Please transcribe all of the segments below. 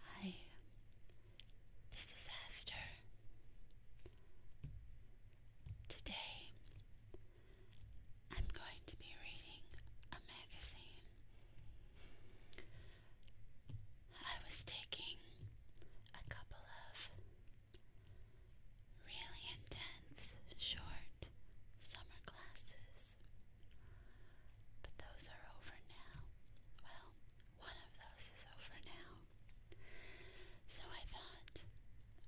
Hi, this is Esther. Today I'm going to be reading a magazine. I was taking a couple of really intense, short summer classes. But those are over now. Well, one of those is over now. So I thought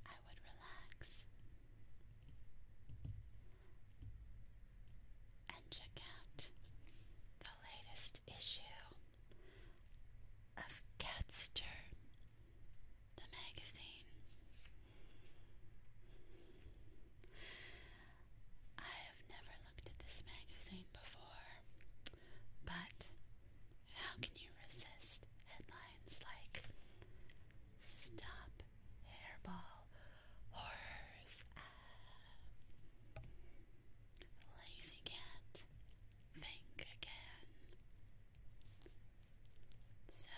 I would relax and check out the latest issue of Catster the magazine. I have never looked at this magazine before, but how can you resist headlines like Stop Hairball Horrors? Lazy Cat, Think Again, so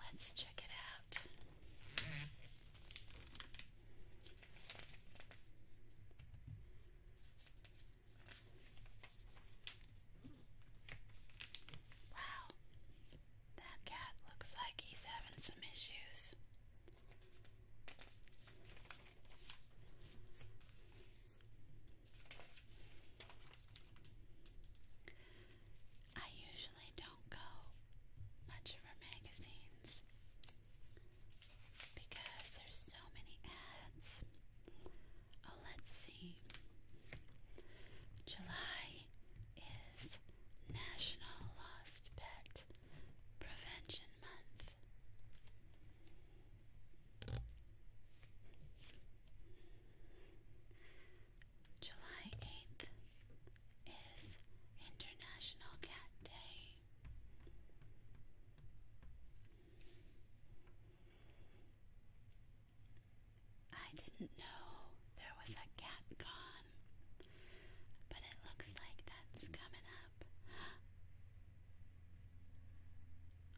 let's check it out. Wow, that cat looks like he's having some issues. I usually don't go much for magazines because there's so many ads. Oh, let's see. July is National Lost Pet Prevention Month. July 8th is International Cat Day. I didn't know there was a cat gone, but it looks like that's coming up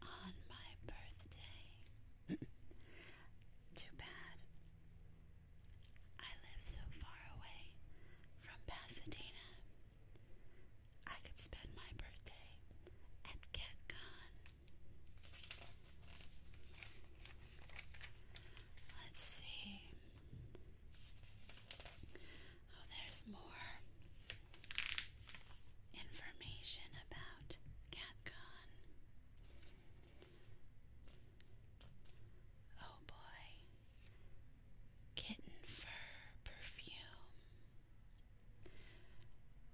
on my birthday. Too bad. I live so far away from Pasadena. I could spend my birthday and get gone. Let's see. Oh, there's more information about CatCon. Oh boy, kitten fur perfume.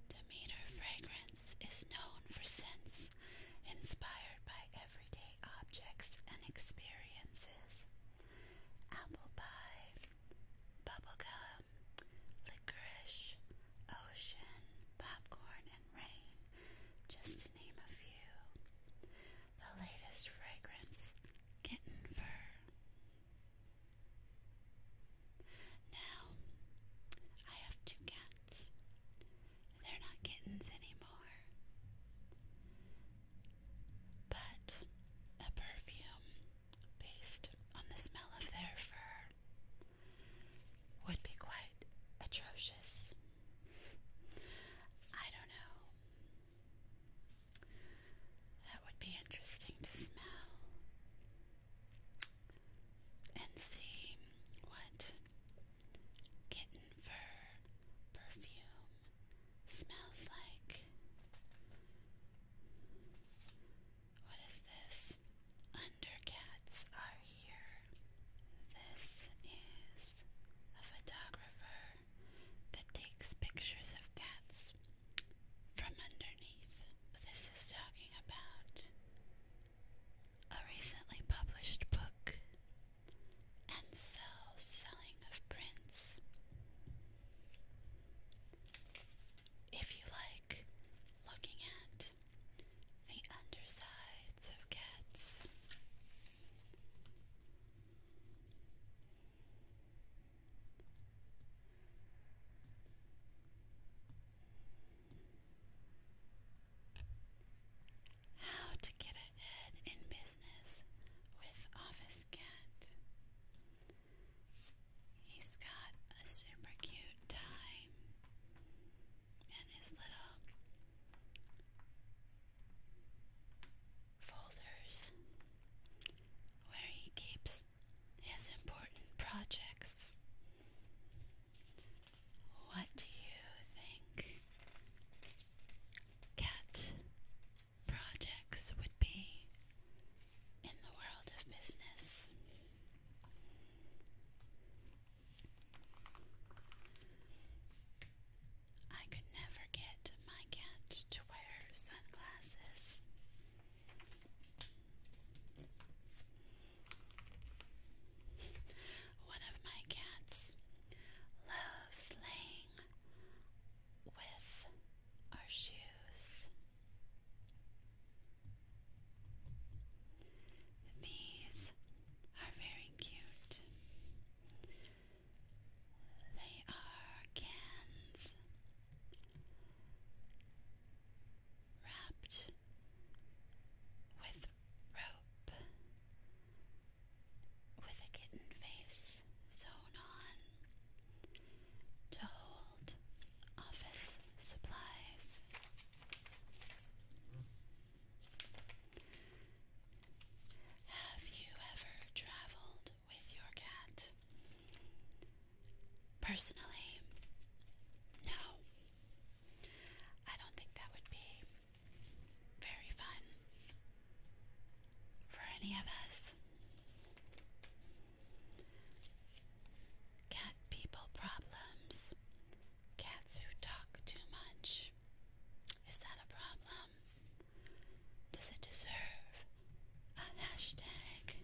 Demeter fragrance is known for scents inspired by everyday objects and experiences. Apple pie, bubblegum, licorice, ocean, popcorn, and rain, just to name a few. The latest fragrance, kitten fur. Now, I have two cats. They're not kittens anymore. But a perfume based on the smell of their fur would be quite atrocious. I don't know. That would be interesting to smell and see what kitten fur perfume smells like. What is this? Undercats are here. This is a photographer that takes pictures of cats from underneath. This is talking about a recently published book and so selling of prints. If you like looking at the undersides of cats. How to get ahead in business with Office Cat. He's got a super cute time and his little folders where he keeps his important projects. What do you think cat projects would be in the world of business? I could never get my cat to wear sunglasses. One of my cats loves laying with our shoes. These are very cute. They are cans wrapped with rope with a kitten face sewn on to hold office supplies. Have you ever traveled with your cat? Personally, no. I don't think that would be very fun for any of us. Cat people problems Cats who talk too much. Is that a problem? Does it deserve a hashtag?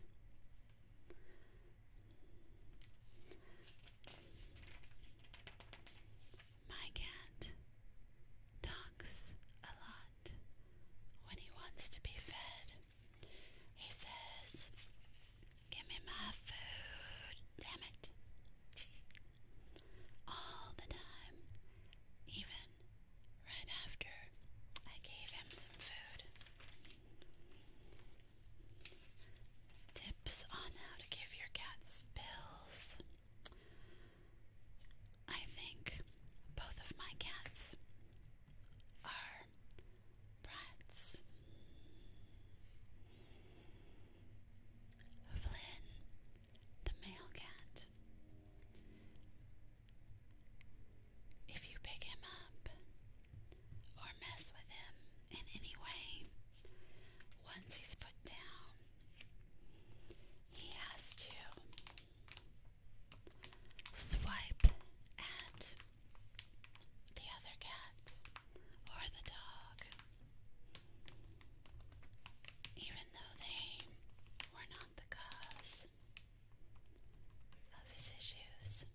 My cat talks a lot when he wants to be fed. He says, Give me my food, damn it. All the time, even right after I gave him some food. Tips on how to give your cats pills. I think both of my cats are Bratz, Flynn, the male cat. If you pick him up or mess with him in any way, once he's put down, he has to swipe at the other cat or the dog, even though they were not the cause of his issues.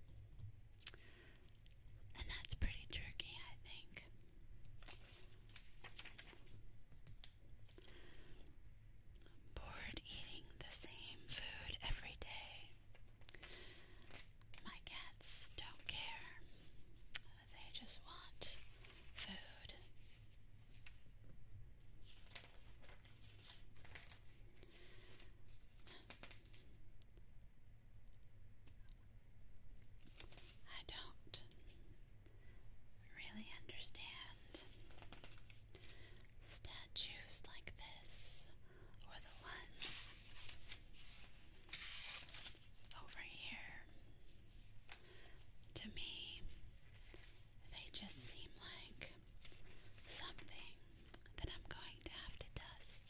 And that's pretty tricky, I think. Bored eating the same food every day. My cats don't care. They just want food. I don't really understand statues like this or the ones over here. To me, they just seem like something that I'm going to have to dust.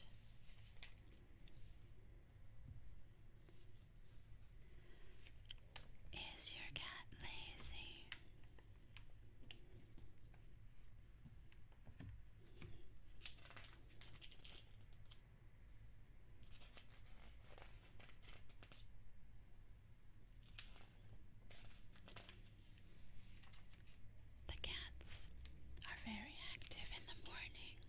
Is your cat lazy? The cats are very active in the morning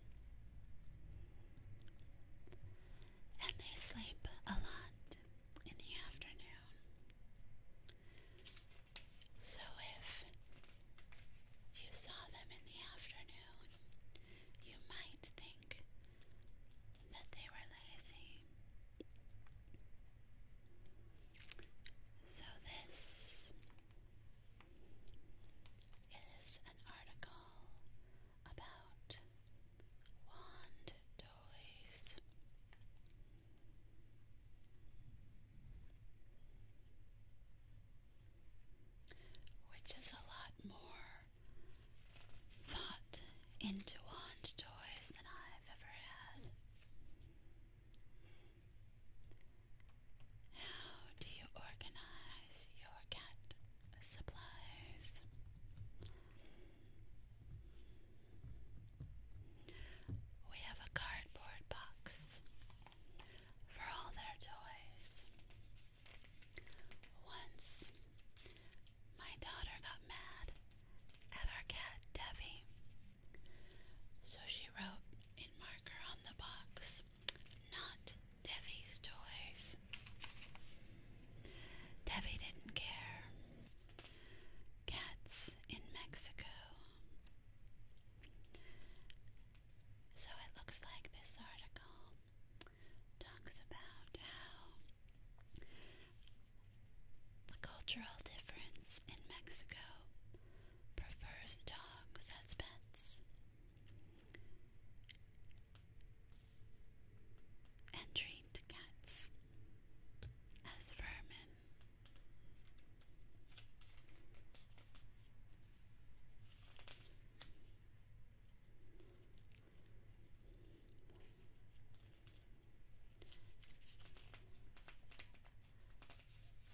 and they sleep a lot in the afternoon. So, if you saw them in the afternoon. You might think that they were lazy. So, this is an article about wand toys which is a lot more thought into wand toys than I've ever had. How do you organize your cat supplies? We have a cardboard box for all their toys. Once, my daughter got mad at our cat Debbie, so she wrote in marker on the box, Not Devi's toys. Devi didn't care. Cats in Mexico. So it looks like this article talks about how the cultural difference in Mexico prefers dogs as pets. And treat cats as vermin.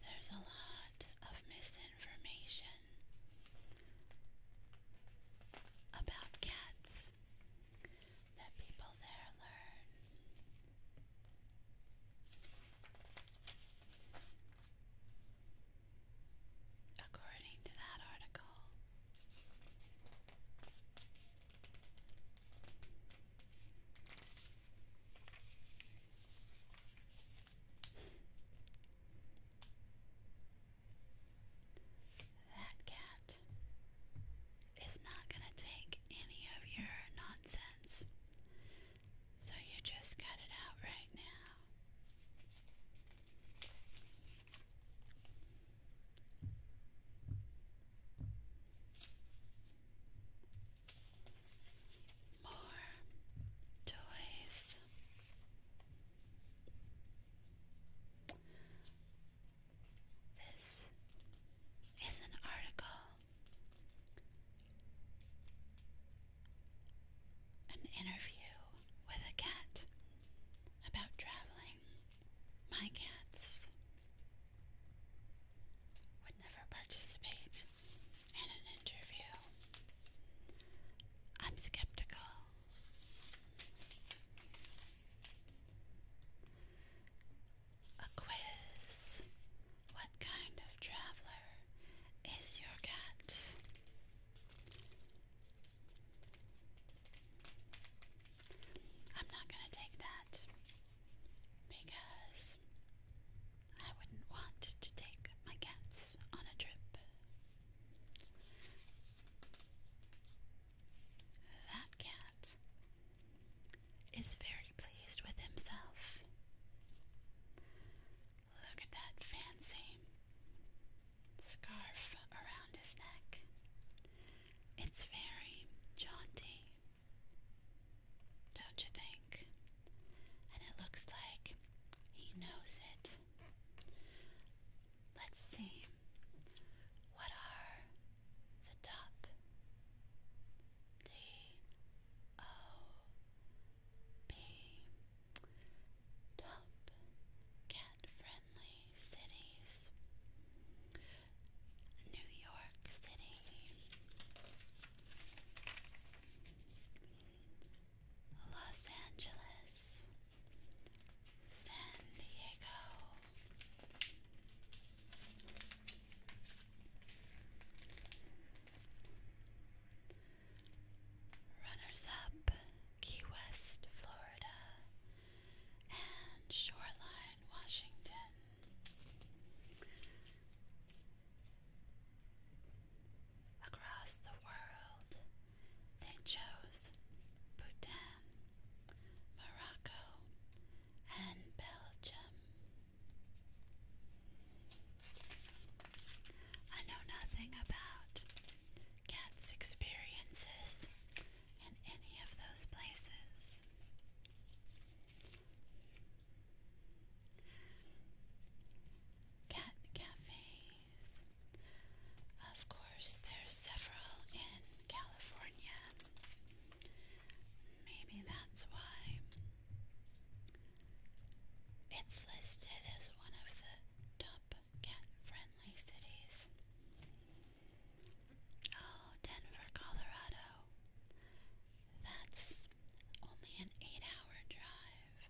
There's a lot of misinformation about cats that people there learn according to that article. That cat is not going to take any of your nonsense. So you just got it out right now. More toys. This is an article an interview with a cat about traveling. My cats would never participate in an interview. I'm skeptical. A quiz. What kind of traveler is your cat? I'm not going to take that because I wouldn't want to take my cats on a trip. That cat is very pleased with himself. Look at that fancy scarf around his neck. It's very jaunty, don't you think? And it looks like he knows it. Let's see. What are the top? D O B Top cat friendly cities New York City, Los Angeles, San Diego. Runners Up, Key West, Florida, and Shoreline, Washington. Across the world, they chose Bhutan, Morocco, and Belgium. I know nothing about cats' experiences in any of those places. Cat cafes. Of course, there's several in California. Maybe that's why it's listed as one of the top cat friendly cities. Oh, Denver, Colorado. That's only an eight hour drive.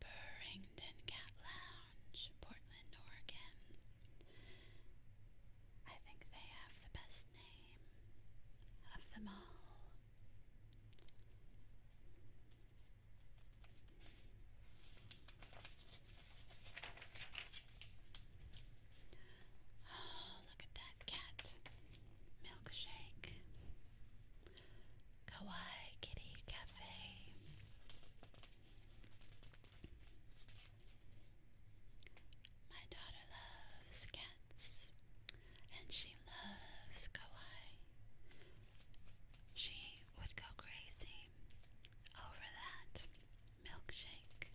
Burrington Cat Lounge, Portland, Oregon. I think they have the best name of them all. Oh, look at that cat milkshake, kawaii kitty cafe, my daughter loves cats and she loves kawaii. She would go crazy over that milkshake.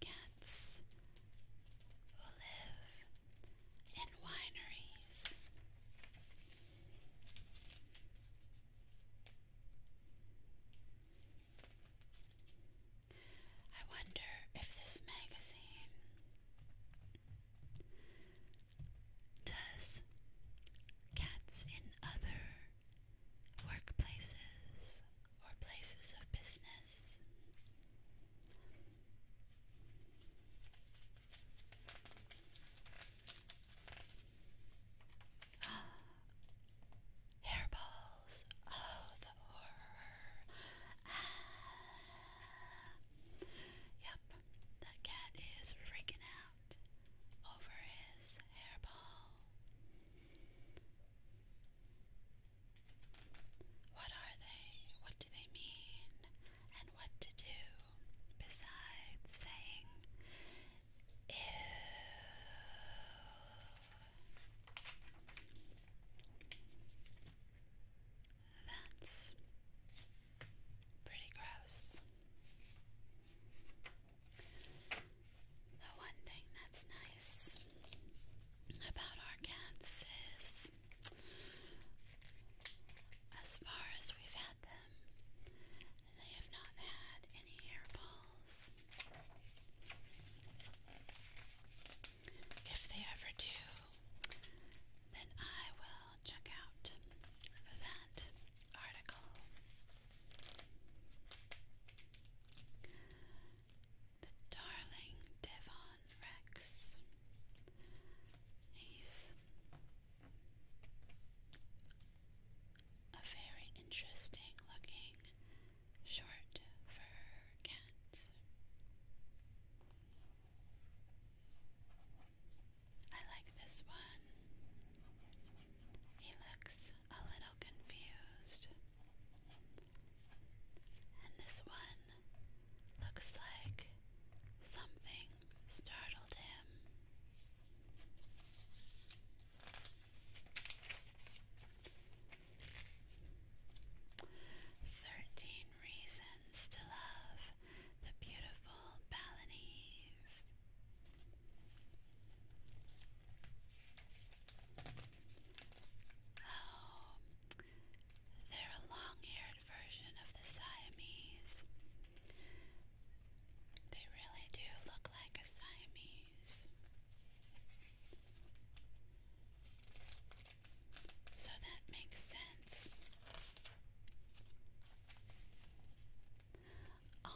Cats who live in wineries. I wonder if this magazine does cats in other workplaces or places of business? Hairballs, oh, the horror. Ah. Yep, that cat is freaking out over his hairball. What are they? What do they mean? And what to do besides saying ew? That's Pretty gross. The one thing that's nice about our cats is, as far as we've had them, they have not had any hairballs. If they ever do, then I will check out that article. The darling Devon Rex. He's a very interesting looking short fur cat. I like this one. He looks a little confused. And this one looks like something startled him. Thirteen reasons to love the beautiful Balinese. Oh, they're a long-haired version of the Siamese. They really do look like a Siamese. So that makes sense. Oh.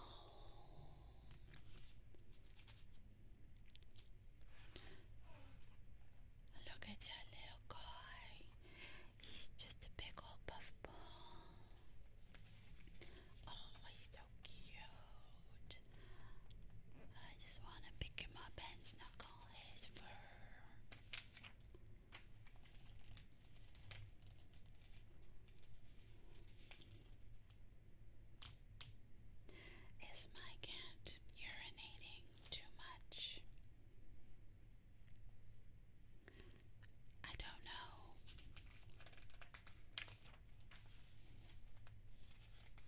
Look at that little guy. He's just a big old puffball. Oh, he's so cute. I just want to pick him up and snuggle his fur. Is my cat urinating too much? I don't know.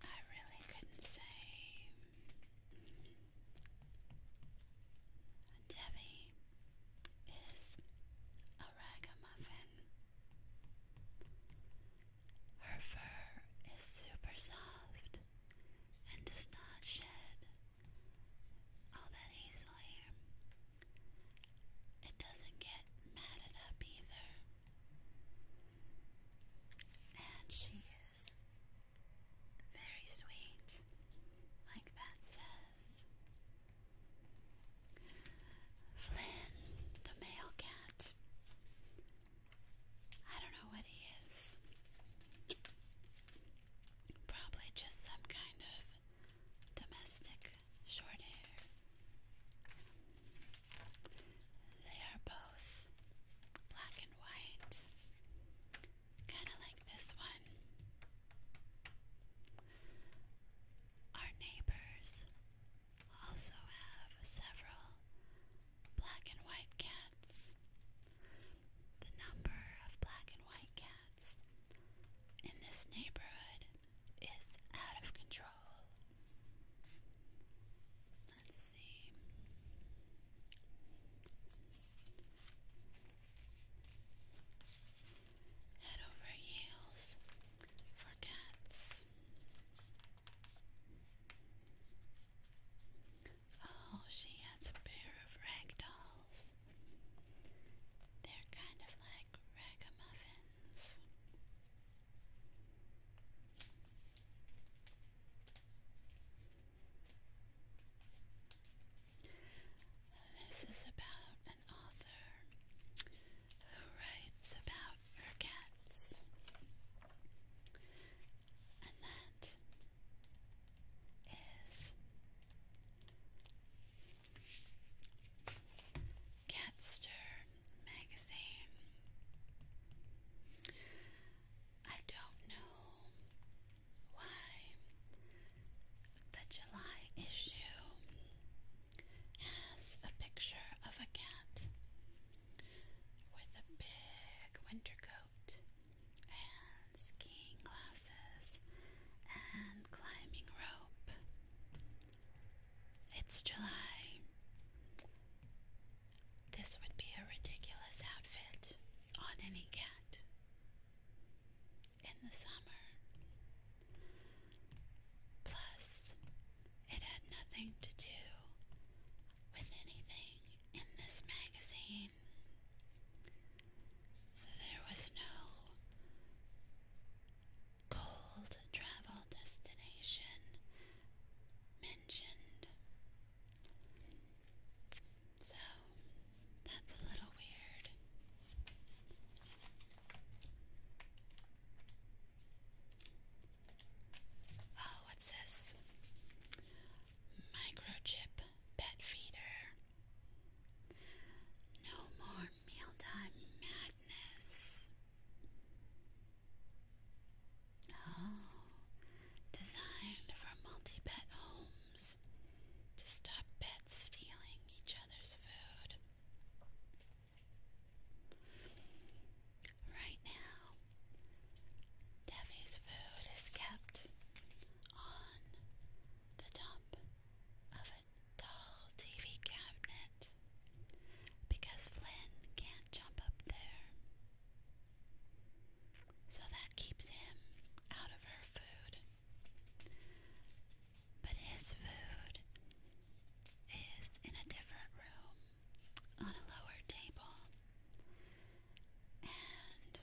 I really couldn't say. Debbie is a ragamuffin. Her fur is super soft and does not shed all that easily. It doesn't get matted up either. And she is very sweet, like that says. Flynn, the male cat. I don't know what he is. Probably just some kind of domestic short hair. They are both black and white, kind of like this one. Our neighbors also have several black and white cats. The number of black and white cats in this neighborhood is out of control. Let's see. Head over heels for cats. Oh, she has a pair of rag dolls. They're kind of like ragamuffins. This is about an author who writes about her cats, and that is Catster Magazine. I don't know why the July issue has a picture of a cat with a big winter coat and skiing glasses and climbing rope. It's July. This would be a ridiculous outfit on any cat in the summer. Plus, it had nothing to do with anything in this magazine. There was no cold travel destination mentioned. So, that's a little weird. Oh, what's this? Microchip pet feeder. No more mealtime madness. Oh, designed for multi pet homes to stop pets stealing each other's food. Right now, Debbie's food is kept on the top of a tall TV cabinet because Flynn can't jump up there. So that keeps him out of her food. But his food is in a different room on a lower table, and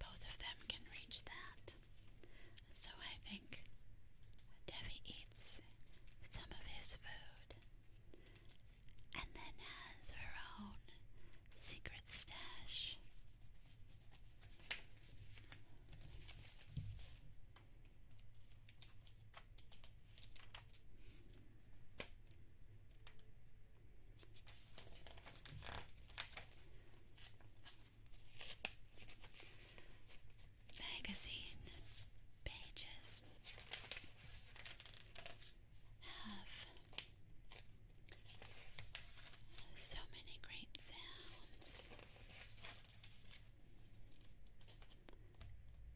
both of them can reach that. So I think Debbie eats some of his food and then has her own secret stash. Magazine pages have so many great sounds.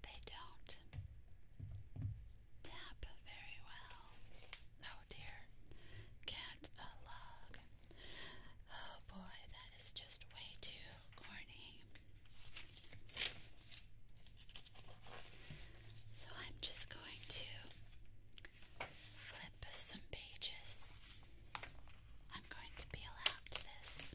They don't tap very well. Oh dear. Get a log. Oh boy, that is just way too corny. So I'm just going to flip some pages I'm going to peel out this.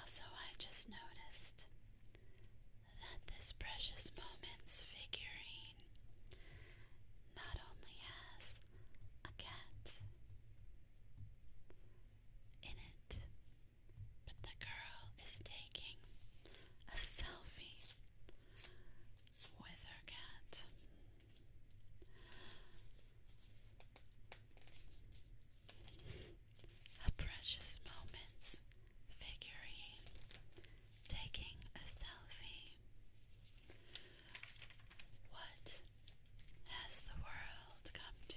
Also, I just noticed that this Precious Moments figurine not only has a cat in it, but the girl is taking a selfie with her cat. A precious moments figurine taking a selfie. What has the world come to?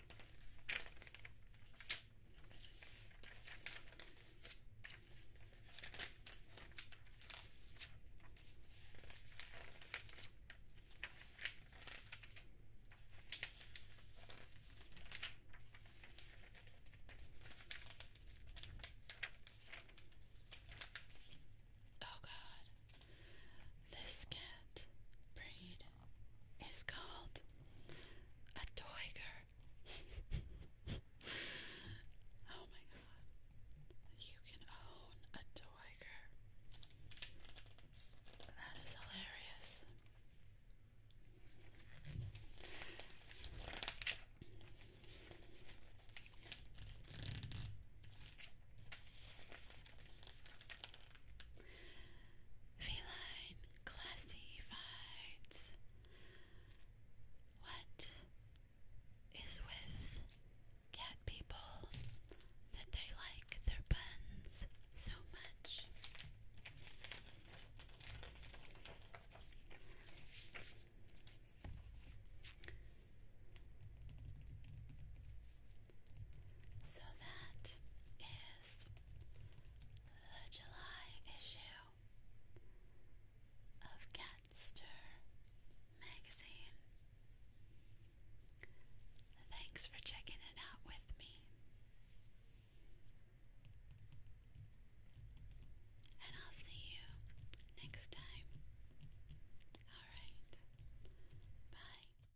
Oh, God, this cat breed it's called a tiger. oh my god. You can own a tiger. That is hilarious. Feline classifies. What is with cat people that they like their buns so much? So that is the July issue of Catster magazine. Thanks for checking it out with me. And I'll see you next time. Alright. Bye.